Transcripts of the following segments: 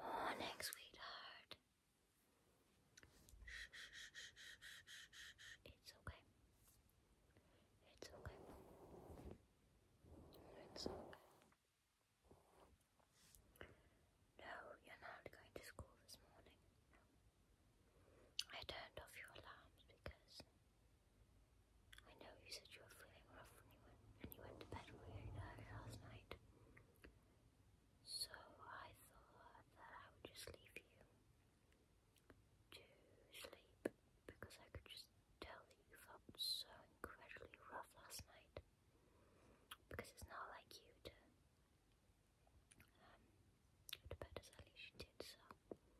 Morning, sweetheart. It's okay. It's okay. It's okay. No, you're not going to school this morning. I turned off your alarms because I know you said you were feeling rough when you went and you went to bed really early last night. So I thought that I would just leave you to sleep because I could just tell that you felt so incredibly rough last night. Because it's not like you to um, go to bed as early as you did, so I don't know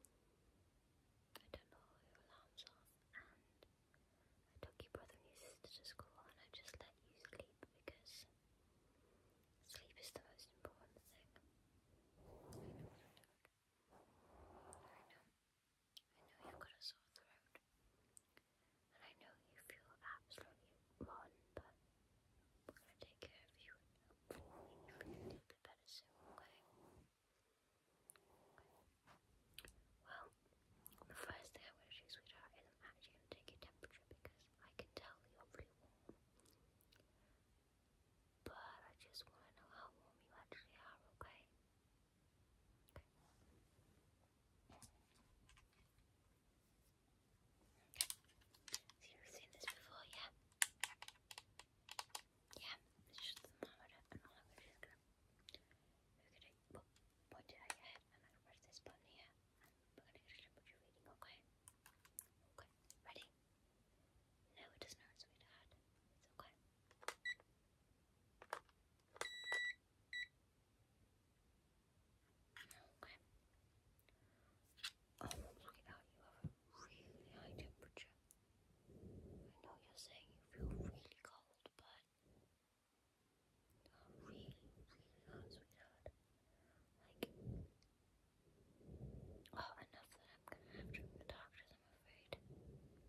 your alarms are and I took your brother and your sister to school and I just let you sleep because sleep is the most important thing. I know, I know. you've got a sore throat. And I know you feel absolutely rotten, but we're gonna take care of you and a little better soon, okay? Well, the first thing I'm to do, sweetheart, is actually take your temperature because I can tell you're pretty warm. But I just want to know how warm you actually are, okay? Okay. So you've seen this before, yeah? Yeah, it's just the thermometer, and all I'm going who could I point it at your head and I can press this button here we're gonna get a clip you reading, okay? Okay, ready? No, it does not, sweetheart. It's okay. Okay. Oh, sweetheart, you have a really high temperature. I know you're saying you feel really cold, but not really, sweetheart. Like, oh, enough that I'm gonna have to go to the doctors, I'm afraid.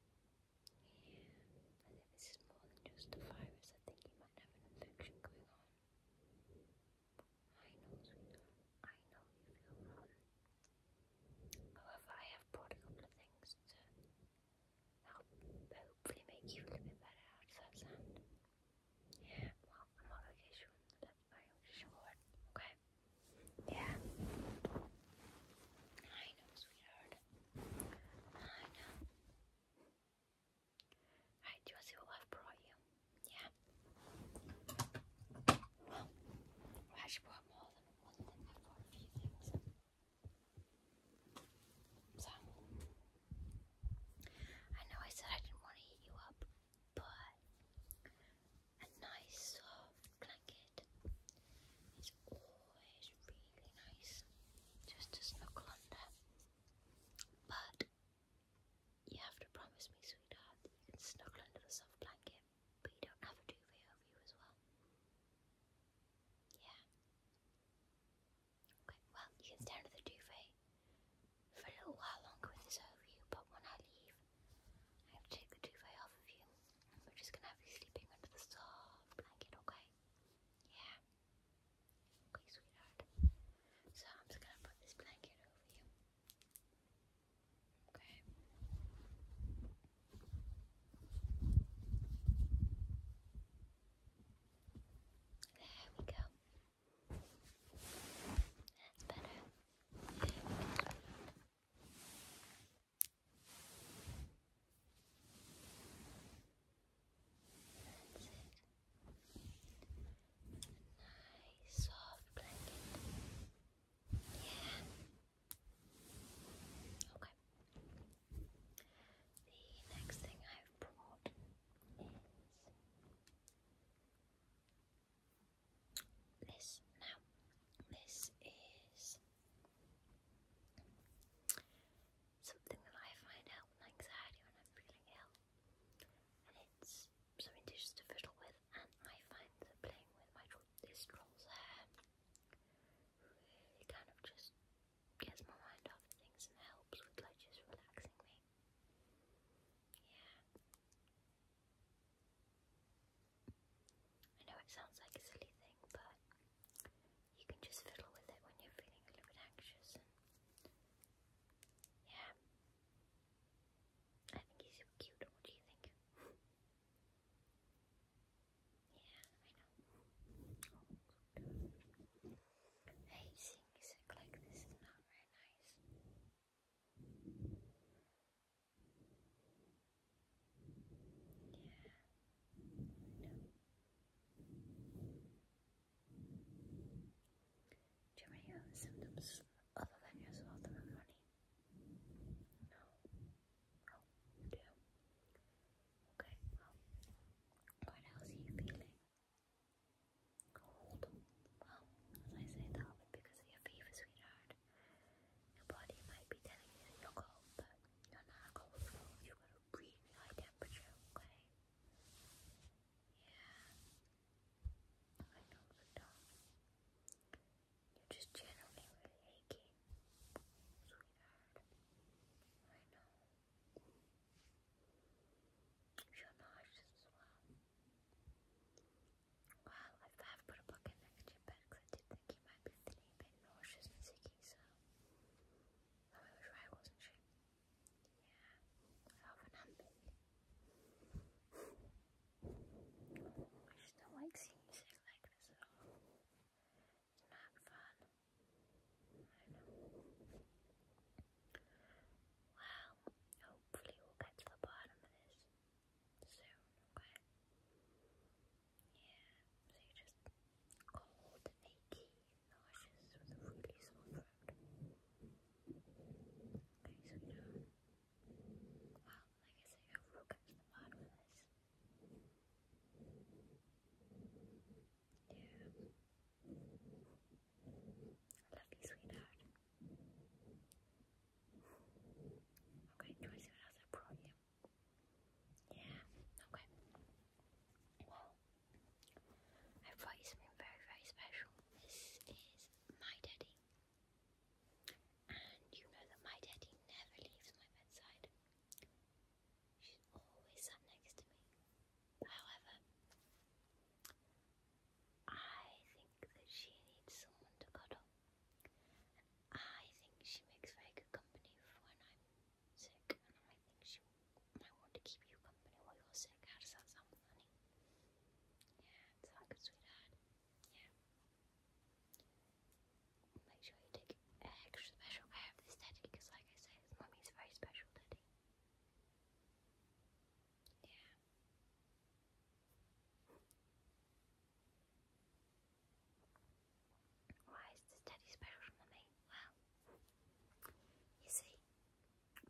Yeah, I think this is more than just a virus. I think you might have an infection going on. I know, sweetheart. I know you feel rotten. However, I have brought a couple of things to hopefully make you a little bit better out of that well, I'm not okay sure the left my short. Okay. Yeah. I know, sweetheart. I know. Alright, do what I've brought you? Yeah. Well, I should brought more than I know I said I didn't want to eat you up, but a nice soft blanket is always really nice just to snuggle under. But you have to promise me, sweetheart, that you can snuggle under the soft blanket but you don't have a duvet over you as well. Yeah. Okay, well, you can stay under the duvet for a little while longer with this over you, but when I leave, I have to take the duvet off of you. we're just gonna have you sleeping under the soft blanket, okay? Yeah. Okay, sweetheart. So I'm just gonna put this blanket over you. Okay. There we go. That's better. That's it. A soft blanket. Yeah. Okay. The next thing I've brought is this. Now, this is something that I find helps my anxiety when I'm feeling ill, and it's something to just fiddle with. And I find playing with my drawing this troll's hair really kind of just gets my mind off things and helps with like just relaxing me. Yeah. I know it sounds like a silly thing, but you can just fiddle with it when you're feeling a little bit anxious yeah. I think he's so cute. What do you think? know. Oh, hey, seeing like this is not very nice. Yeah. No. Jerry sometimes other than yourself and money. No. Oh, you do. Okay, well, what else are you feeling? Cold. Well, I say that, because of your fever, sweetheart. Your body might be telling you you're cold, but you're not cold You've got a really high temperature, okay? Yeah. I know the dog. You're just generally really aching, sweetheart. I know. You're nauseous as well. Well, I thought put a bucket next to your because I did think you might be feeling a bit nauseous and sicky, so. I was right, wasn't Yeah, I have an ambulance. I just don't like seeing music like this at all. It's not fun. I know. Well, hopefully we'll get to the bottom of this soon, okay? Yeah, so you're just cold and nauseous with a really sore throat. Okay, so now Wow, like I say, who comes to the mod with us? Yeah. love you, sweetheart. Okay, do what else I brought you? Yeah, okay. Well, I brought you something very, very special. This is my daddy. And you know that my daddy never leaves my bedside. She's always sat next to me. However, I think that she needs someone to cuddle. I think she makes very good company when I'm sick. And I think she might want to keep you company while you're sick. How does that sound, honey? Yeah, it's like a sweetheart. Yeah. Make sure you take extra special care of this teddy because, like I said, mummy's very special teddy. Yeah. Why is this teddy special mummy? Well, you see,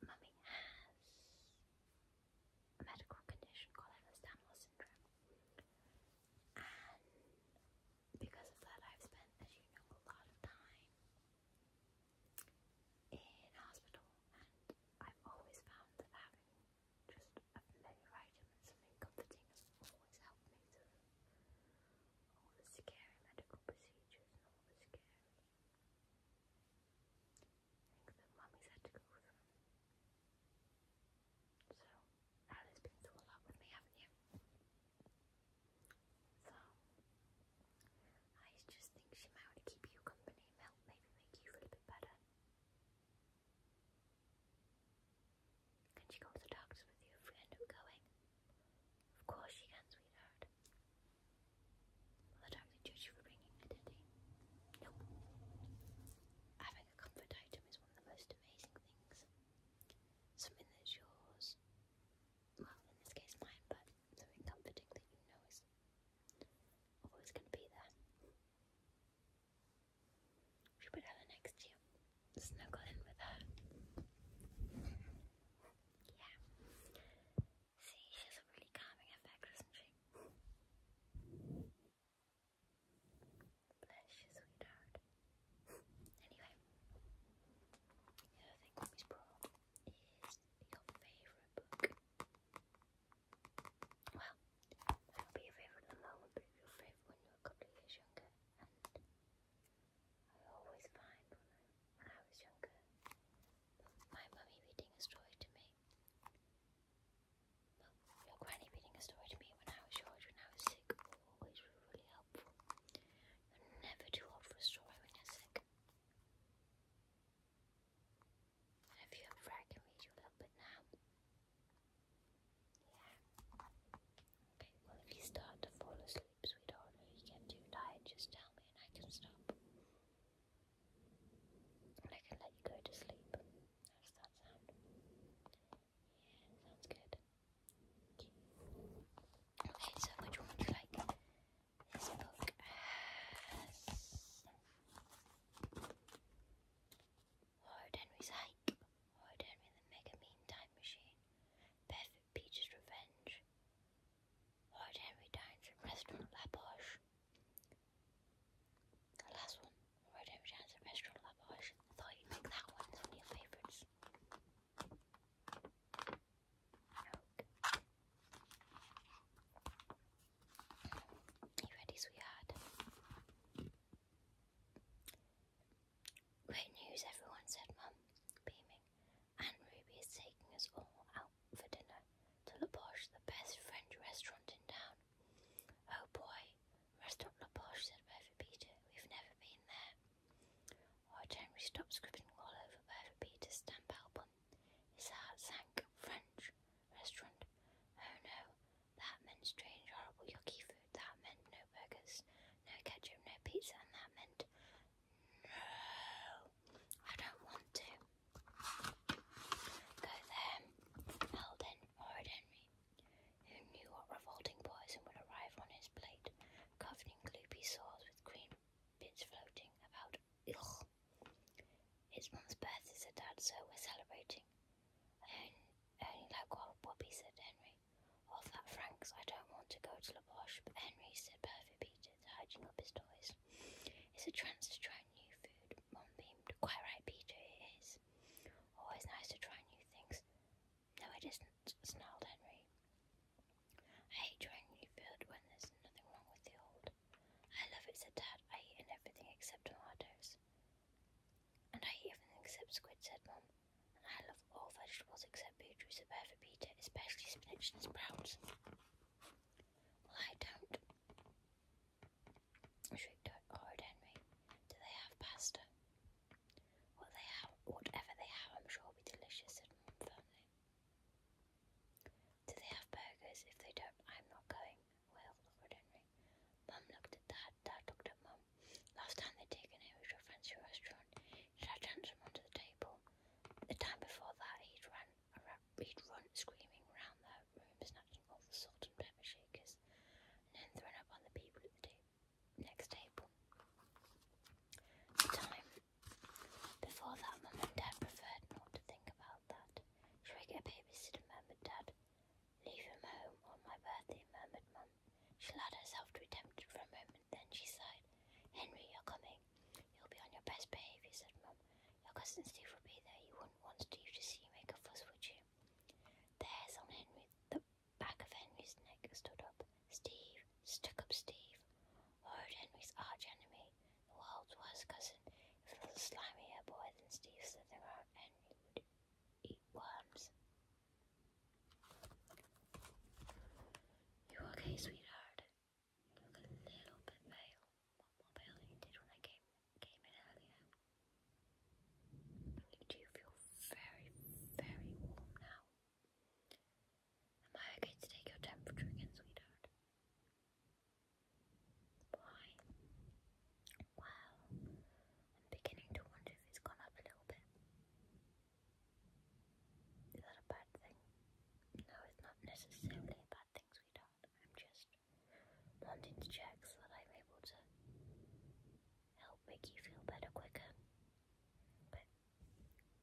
mummy has a medical condition called Ehlers-Danlos syndrome. And because of that, I've spent, as you know, a lot of time in hospital, and I've always found that having just a familiar item something comforting always helped me through all the scary medical procedures and all the scary things that to go through. So, Ali's been through a lot with me, haven't you? So, I just think she might want to keep you company, Mel, maybe make you feel a bit better. Can she go to the doctors with you if we end up going? Of course she can, sweetheart. Will the doctor judge you for bringing a teddy? Nope. Having a comfort item is one of the most amazing things. Something that's yours, well, in this case mine, but something comforting that you know is always going to be there. She put Ella next to you, snuggle in with her. Yeah. See, she has a really calming effect, doesn't she? Bless you, sweetheart. Anyway, the other thing Mommy's brought is your favourite book. Well, it'll be your favourite at the moment, but it'll be your favourite when you're a younger. And I always find when I was younger, my mummy reading a story to me but your granny reading a story to me when I was your age, when I was sick, always was really helpful. You're never too old for a story when you're sick. And if you ever, I can read you a little bit now. Yeah. Okay, well, if you start to fall asleep, sweetheart, or you get too tired, just tell me and I can stop. I can let you go to sleep. How that sound? Yeah, sounds good. Okay, so which one would you like? This book has Horrid Henry's Hike, Horrid Henry the Mega Mean Time Machine, Perfect Peach's Revenge, Horrid Henry Dines from Restaurant La Poche, the last one, Rodeo Restaurant Labarge. I thought you'd pick that one, it's one of your favourites. you ready, sweetheart? Great news, everyone, said Mum, beaming. And Ruby is taking us all out for dinner to La Poche, the best French restaurant in town. Oh boy, Restaurant La Poche, said Bertha Peter. We've never been there. Old we stop scribbling all over Bertha Peter's stamp album. His heart sank. French restaurant. Oh no, that meant strange, horrible, yucky food. That meant no burgers, no ketchup, no pizza, and that meant no. I don't want to. Go there, Alden or Henry, who knew what revolting poison would arrive on his plate, governing gloopy sores with green bits floating about. Ugh. His mum's birthday, is a dad, so we're celebrating. I only, like wild poppy, said Henry. Off that Franks, I don't want to go to La Boche, but Henry said perfect Peters, hiding up his toys. It's a chance to try new food. Mom beamed. Quite right, Peter, it is. Always nice to try new things. No, it isn't, snarled Henry. I hate trying new food when there's nothing wrong with the old. I love it, said Dad. I eat everything except tomatoes. And I eat everything except squid, said Mom. I love all vegetables except beetroot, said Bear for especially spinach and sprouts. Well, I don't. Shrieked Lord Henry. Do they have pasta? What they have, whatever they have, I'm sure will be delicious," said Mum firmly. Do they have burgers? If they don't, I'm not going. Well, Lord Henry. Mum looked at Dad. Dad looked at Mum. Last time they taken him was to a fancy restaurant. He'd had handsome onto the table. The time before that, he'd run a rapid run, screaming round the room, snatching off salt and pepper shakers, then thrown up on the people at the next table. The time before that, Mum and Dad preferred not to think about that. Should we get a babysitter, murmured Dad. Leave him home on my birthday, murmured Mum. She allowed herself to be tempted for a moment, then she sighed. Henry, you're coming. You'll be on your best behaviour, said Mum. Your cousin Steve will be there. You wouldn't want Steve to see you make a fuss, would you? The hairs Henry, the back of Henry's neck stood up. Steve, stuck up Steve. Horrid Henry's arch enemy, the world's worst cousin. If a little slimier boy than Steve slithered And Henry would eat worms. You okay, sweetheart? a little bit pale, more pale you did when I came came in earlier. You feel very, very warm now. Am I okay to take your temperature again, sweetheart? Why? Well, I'm beginning to wonder if it's gone up a little bit. Is that a bad thing? No, it's not necessarily a bad thing, sweetheart. I'm just wanting to check so that I'm able to help make you feel better quicker. But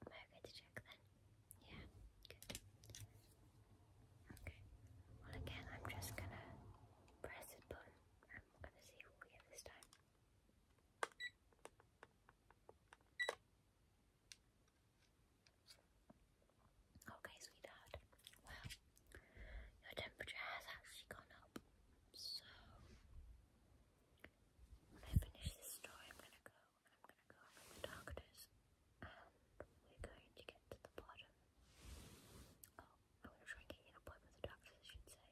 am I okay to check then? Yeah, good. Okay. Well, again, I'm just gonna press it button. I'm gonna see what we get this time. Okay, sweetheart. Well, your temperature has actually gone up. So when I finish this story, I'm gonna go I'm gonna go over the doctors and we're going to get to the bottom. Oh, I'm to try and get you an appointment with the doctors, I should say.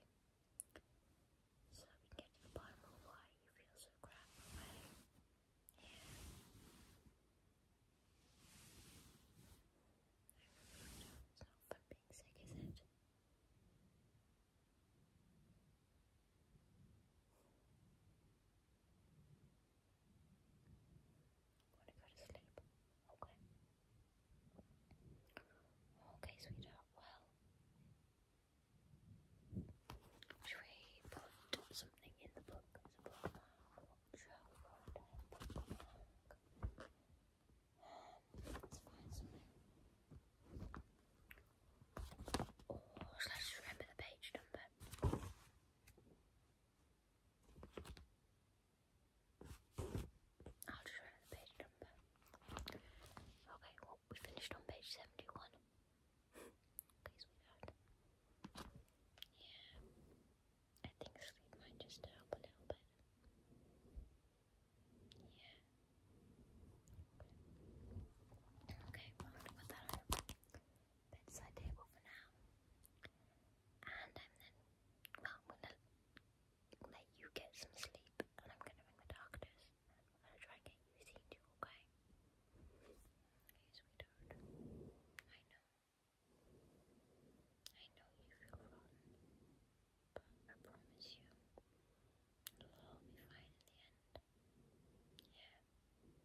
So we can get to the bottom of why you feel so crap, okay? himself for being sick, is it? Want to go to sleep? Okay. Okay, sweetheart. Well, should we put something in the book let's find something. Or shall I remember the page number? I'll remember the page number. Okay, well, we finished on page 71. Okay, sweetheart. Yeah. I think sleep might just help a little bit. Yeah. Okay, I'm gonna put that on the bedside table for now. And I'm then, well, gonna let you get some sleep, and I'm gonna ring the doctors. I'm gonna try and get you a okay? Okay, sweetheart. I know. I know you feel rotten, but I promise you, it'll all be fine in the end. Yeah. Well,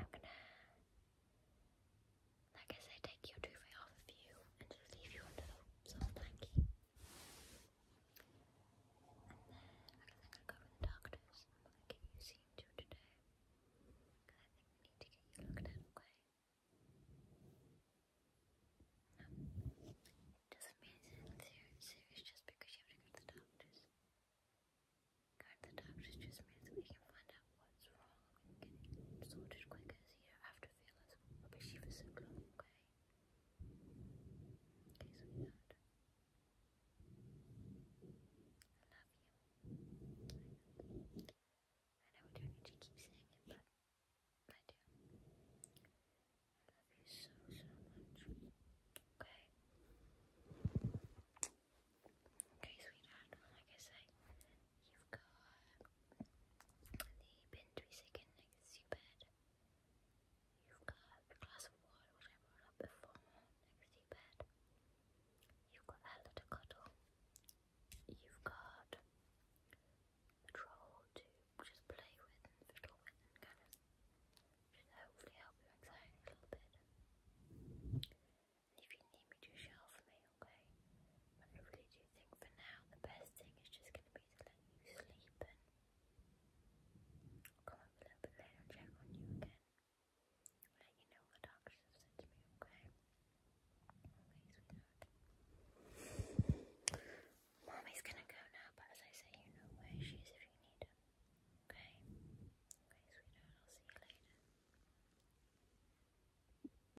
I'm gonna, like I said, take your duvet off of you and it leave you under the soft blanket. And then I don't go with the doctors. I'm gonna get you seen today. I think we need to get you looked at, okay? No. It doesn't mean serious just because you have to go to the doctors. Going to the doctors just means we can find out what's wrong get sorted quick as you don't have to feel as rubbishy for so long, okay? Okay, sweetheart. I love you. I know we don't need to keep saying it, but I do. I love you so, so much. Okay? Okay, sweetheart. Like I say, you've got the bin to be second next to bed. You've got a glass of water which before next to bed. You've got Ella to cuddle. You've got a troll to just play with fiddle with and kind of hopefully help your anxiety a little bit. if you need me to shelf me, okay? But I really do think for now the best thing is just going to be to let you sleep and come up a little later check on you again. let you know what doctors have said to me, okay? Okay, Mommy's gonna go now, but as I say, you know where she is if you need her. Okay? Okay, sweetheart, I'll see you later.